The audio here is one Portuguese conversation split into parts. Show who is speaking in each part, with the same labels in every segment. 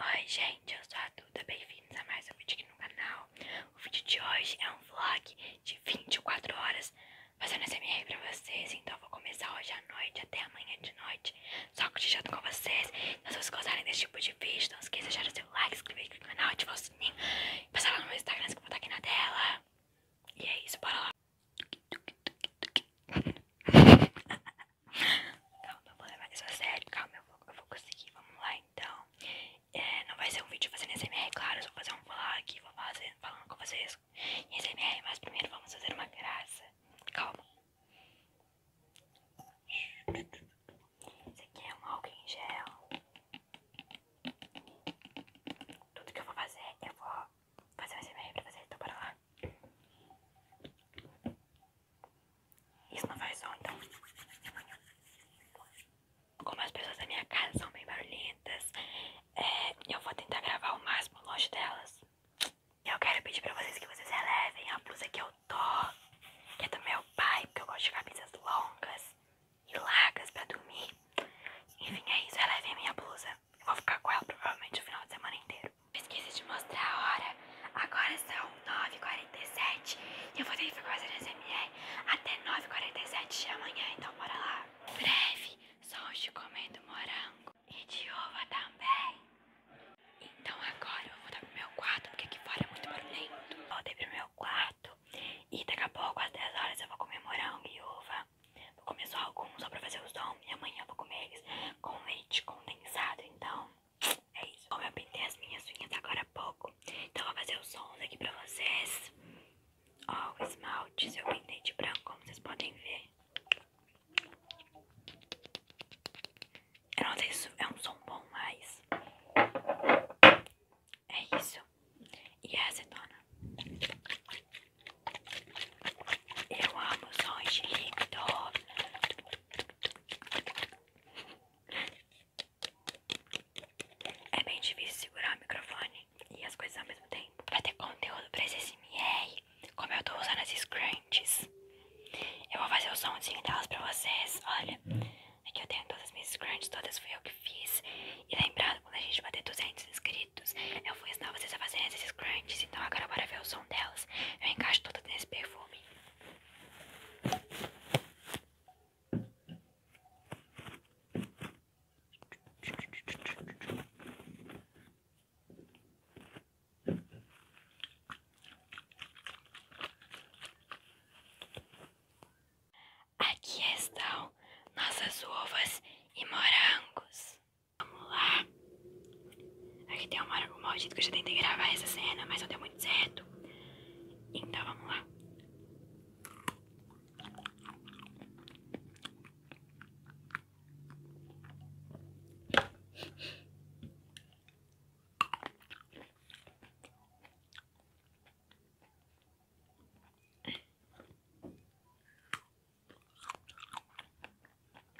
Speaker 1: Oi gente, eu sou a Duda, bem-vindos a mais um vídeo aqui no canal O vídeo de hoje é um vlog de 24 horas fazendo SMR pra vocês Então eu vou começar hoje à noite até amanhã de noite Só cochichando com vocês Então se vocês gostarem desse tipo de vídeo, não esqueça de deixar o seu like, inscrever aqui no canal, ativar o sininho E passar lá no meu Instagram que eu vou estar aqui na tela E é isso, bora lá Calma, eu vou levar isso a sério. Calma, eu vou, eu vou conseguir. Vamos lá, então. É, não vai ser um vídeo fazendo SMR, claro. Eu vou fazer um vlog. Vou fazer, falando com vocês em SMR. Mas primeiro vamos fazer uma graça. Calma. Esse aqui é um álcool em gel. Tudo que eu vou fazer, eu vou fazer um SMR pra fazer Então, bora lá. Isso não vai som, então. Como as pessoas da minha casa são bem barulhentas, é, eu vou tentar gravar o máximo longe delas. Eu quero pedir pra vocês que vocês elevem a blusa que eu tô, que é do meu pai, porque eu gosto de camisas longas e largas pra dormir. Enfim, é isso. elevem a minha blusa. Eu vou ficar com ela provavelmente o final de semana inteiro banheiro. Esqueci de mostrar a hora. Agora são 9h47 e eu vou ter que fazer as M.E. até 9h47 de amanhã, então bora lá. Breve, hoje comendo morango e de uva também. Então agora eu vou dar pro meu quarto, porque aqui fora é muito barulhento. Voltei pro meu quarto e daqui a pouco, às 10 horas, eu vou comer morango e uva. Vou comer só alguns, só pra fazer o som e amanhã eu vou comer eles com leite condensado. Então, é isso. Como eu pintei as minhas unhas agora há pouco, então vou fazer os sons aqui pra vocês. Ó, oh, o esmalte eu pintei de branco, como vocês podem ver. Eu não sei se é um som bom, mas é isso. E é acetona. Eu amo sons de líquido. É bem difícil segurar o microfone e as coisas ao mesmo tempo. Vai ter conteúdo pra esse SMR, como eu tô usando as scrunchies. Eu vou fazer o somzinho delas pra vocês, olha. Aqui eu tenho todas as minhas scrunchies, todas fui eu que fiz. E lembrando, quando a gente bater 200 inscritos, eu vou ensinar vocês a fazerem esses scrunchies. Então agora bora ver o som delas. Eu encaixo tudo nesse perfume. Aqui estão nossas uvas e morangos. Vamos lá. Aqui tem uma hora com que eu já tentei gravar essa cena, mas não deu muito certo. Então vamos lá.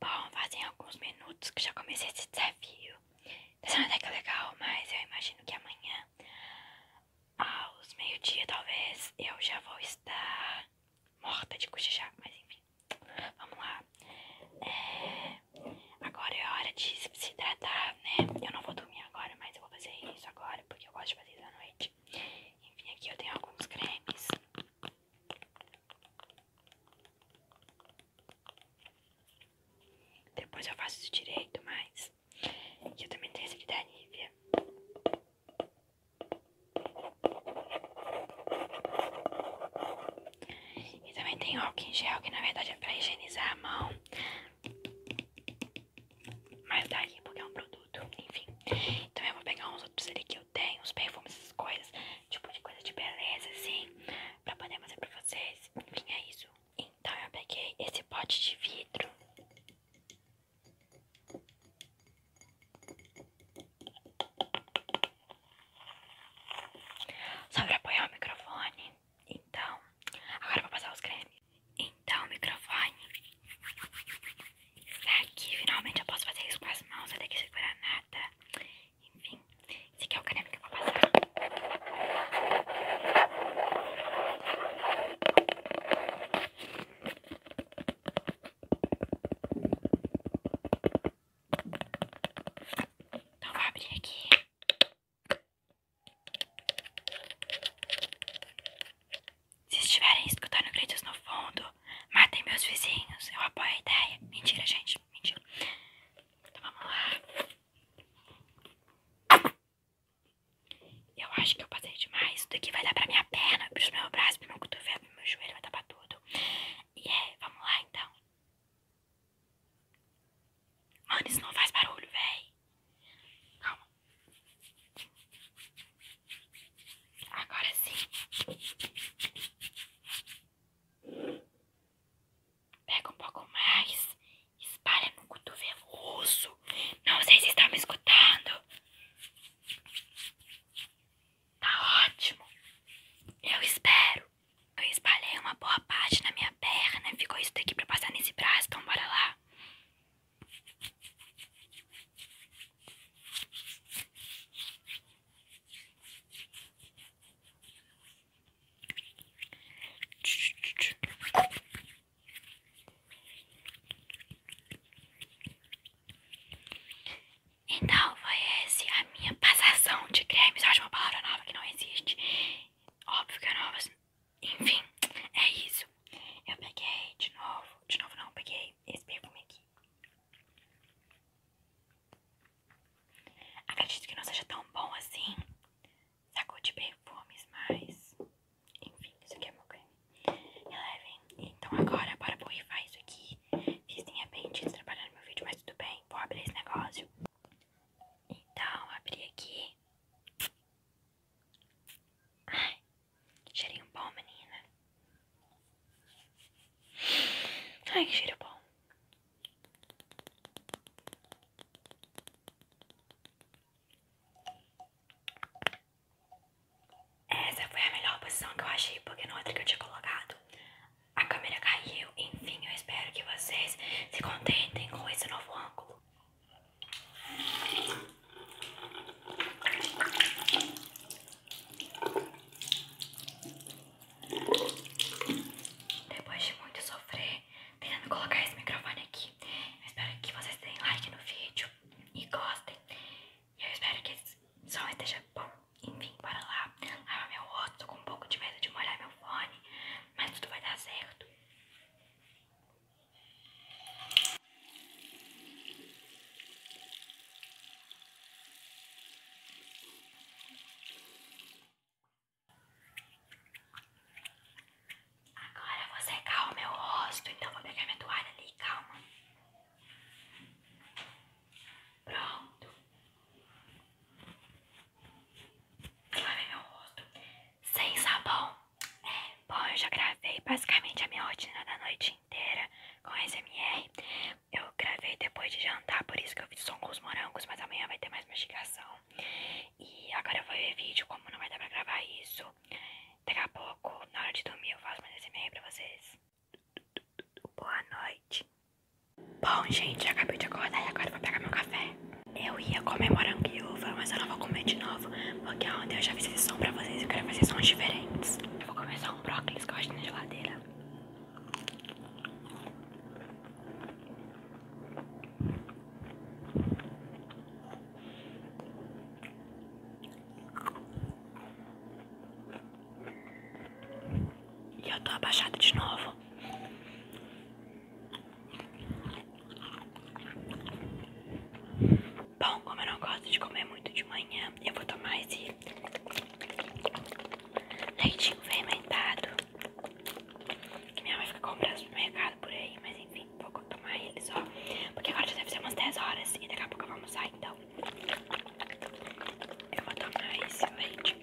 Speaker 1: Bom, fazem alguns minutos que já comecei esse desafio. Tá sendo até que é legal, mas eu imagino que amanhã, aos meio-dia talvez, eu já vou estar morta de cochichar, mas enfim. Vamos lá. É, agora é hora de se hidratar, né? Eu não vou dormir agora, mas eu vou fazer isso agora, porque eu gosto de fazer isso à noite. Enfim, aqui eu tenho alguns cremes. Depois eu faço isso direito, mas eu também tenho esse aqui da Nivea. E também tem álcool em gel, que na verdade é pra higienizar a mão. Mas dá tá aqui porque é um produto, enfim. Então eu vou pegar uns outros ali que eu tem os perfumes, essas coisas, tipo de coisa de beleza, assim, pra poder fazer pra vocês. Enfim, é isso. Então eu peguei esse pote de vidro. Só pra apoiar o microfone. Então, agora eu vou passar os cremes. Então, microfone. Tá aqui, finalmente eu posso fazer isso com as mãos, até que segurar nada. Enfim, esse aqui é o caneco que eu vou passar. Então vou abrir aqui. Se estiverem escutando gritos no fundo, Matem meus vizinhos. Eu apoio a ideia. Mentira, gente. Mentira. Então vamos lá. Eu acho que eu passei demais. Isso daqui vai dar pra minha perna, pro meu braço, pro meu cotovelo, pro meu joelho, vai dar pra tudo. E é, vamos lá então. Mano, isso não faz barulho, véi. Calma. Agora sim. Pega um pouco mais. Espalha no cotovelo osso. Não sei se está me escutando. Tá ótimo. Eu espero. Eu espalhei uma boa parte na minha perna. Ficou isso daqui pra passar nesse braço. Então bora lá. Então foi essa a minha passação de cremes. Eu acho uma palavra nova que não existe. Óbvio que é nova. Assim. Enfim, é isso. Eu peguei de novo. De novo não, peguei esse perfume aqui. Acredito que não seja tão bom assim. Sacou de perfumes, mas. Enfim, isso aqui é meu creme. Então agora, bora borrifar isso aqui. Fiz de repente trabalhando meu vídeo, mas tudo bem. Vou abrir esse negócio. Então, abri aqui. Ai, Cheirinho bom, menina. Ai, que cheiro bom. Essa foi a melhor posição que eu achei, porque na outra que eu tinha colocado, a câmera caiu. Enfim, eu espero que vocês se contentem com esse novo ângulo. Depois de muito sofrer, tentando colocar esse microfone aqui, eu espero que vocês deem like no vídeo e gostem. E eu espero que esse som esteja bom. Enfim, bora lá. Lava meu rosto, tô com um pouco de medo de molhar meu fone, mas tudo vai dar certo. Agora você calma meu rosto, então vou pegar minha toalha ali, calma. Pronto. Lavei meu rosto sem sabão. É, bom, eu já gravei basicamente a minha rotina da noite com SMR. Eu gravei depois de jantar, por isso que eu fiz som com os morangos, mas amanhã vai ter mais mastigação. E agora eu vou ver vídeo, como não vai dar pra gravar isso. Daqui a pouco, na hora de dormir, eu faço mais SMR pra vocês. Boa noite. Bom, gente, acabei de acordar e agora eu vou pegar meu café. Eu ia comer morango e uva, mas eu não vou comer de novo. Porque é ontem eu já fiz esse som pra vocês. Eu quero fazer sons diferentes. Eu vou começar um brócolis que eu acho na geladeira. E eu tô abaixada de novo. Bom, como eu não gosto de comer muito de manhã, eu vou tomar esse leitinho fermentado. Que minha mãe fica comprando no mercado por aí, mas enfim, vou tomar ele só. Porque agora já deve ser umas 10 horas e daqui a pouco eu vou almoçar, então. Eu vou tomar esse leite.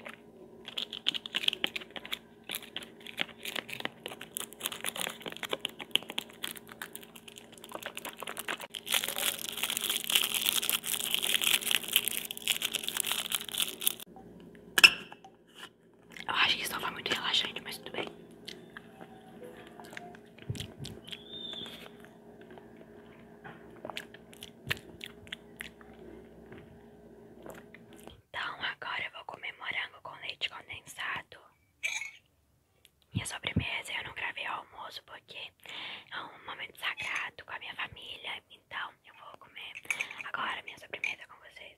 Speaker 1: Eu acho que isso não foi muito relaxante, mas tudo bem. Então agora eu vou comer morango com leite condensado. Minha sobremesa eu não gravei o almoço porque é um momento sagrado com a minha família. Então eu vou comer agora minha sobremesa com vocês.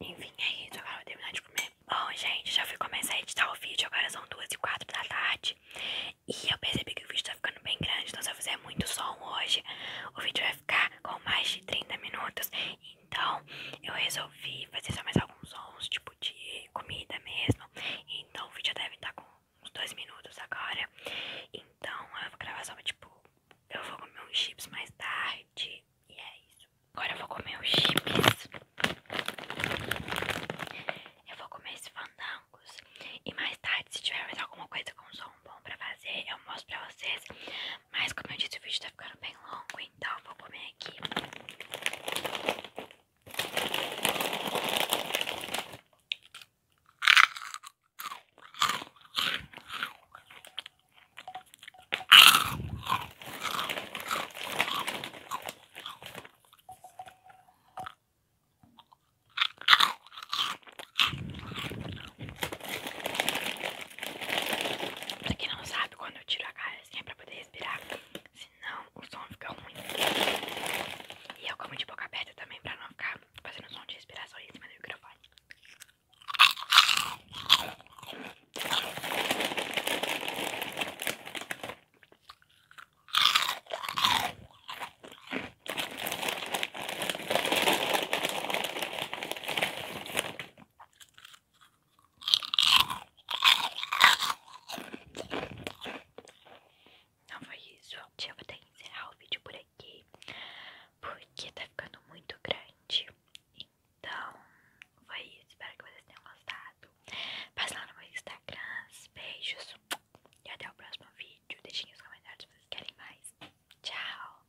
Speaker 1: Enfim, é isso. Agora eu vou terminar de comer. Bom, gente, já fui começar a editar o vídeo. Agora são duas e quatro da tarde. E eu percebi que o vídeo tá ficando bem grande. Então, se eu fizer muito som hoje, o vídeo vai ficar com mais de 30 minutos. Então, eu resolvi fazer só mais alguns sons, tipo de comida mesmo. Então, o vídeo deve estar tá com uns dois minutos agora. Então eu vou gravar só tipo. Eu vou comer uns chips mais tarde. E é isso. Agora eu vou comer os chips. Eu vou comer esses fandangos. E mais tarde, se tiver mais alguma coisa com som bom pra fazer, eu mostro pra vocês. Mas como eu disse, o vídeo tá ficando bem longo, então eu vou comer aqui. Pra quem não sabe, quando eu tiro a cara assim é pra poder respirar não o som fica ruim. E eu como de boca aberta também para não ficar fazendo som de respiração em cima do microfone. Não foi isso, eu vou até encerrar o vídeo por aqui, porque tá ficando muito grande. Então, foi isso, espero que vocês tenham gostado. Passa lá no meu Instagram, beijos e até o próximo vídeo. Deixem os comentários se vocês querem mais. Tchau!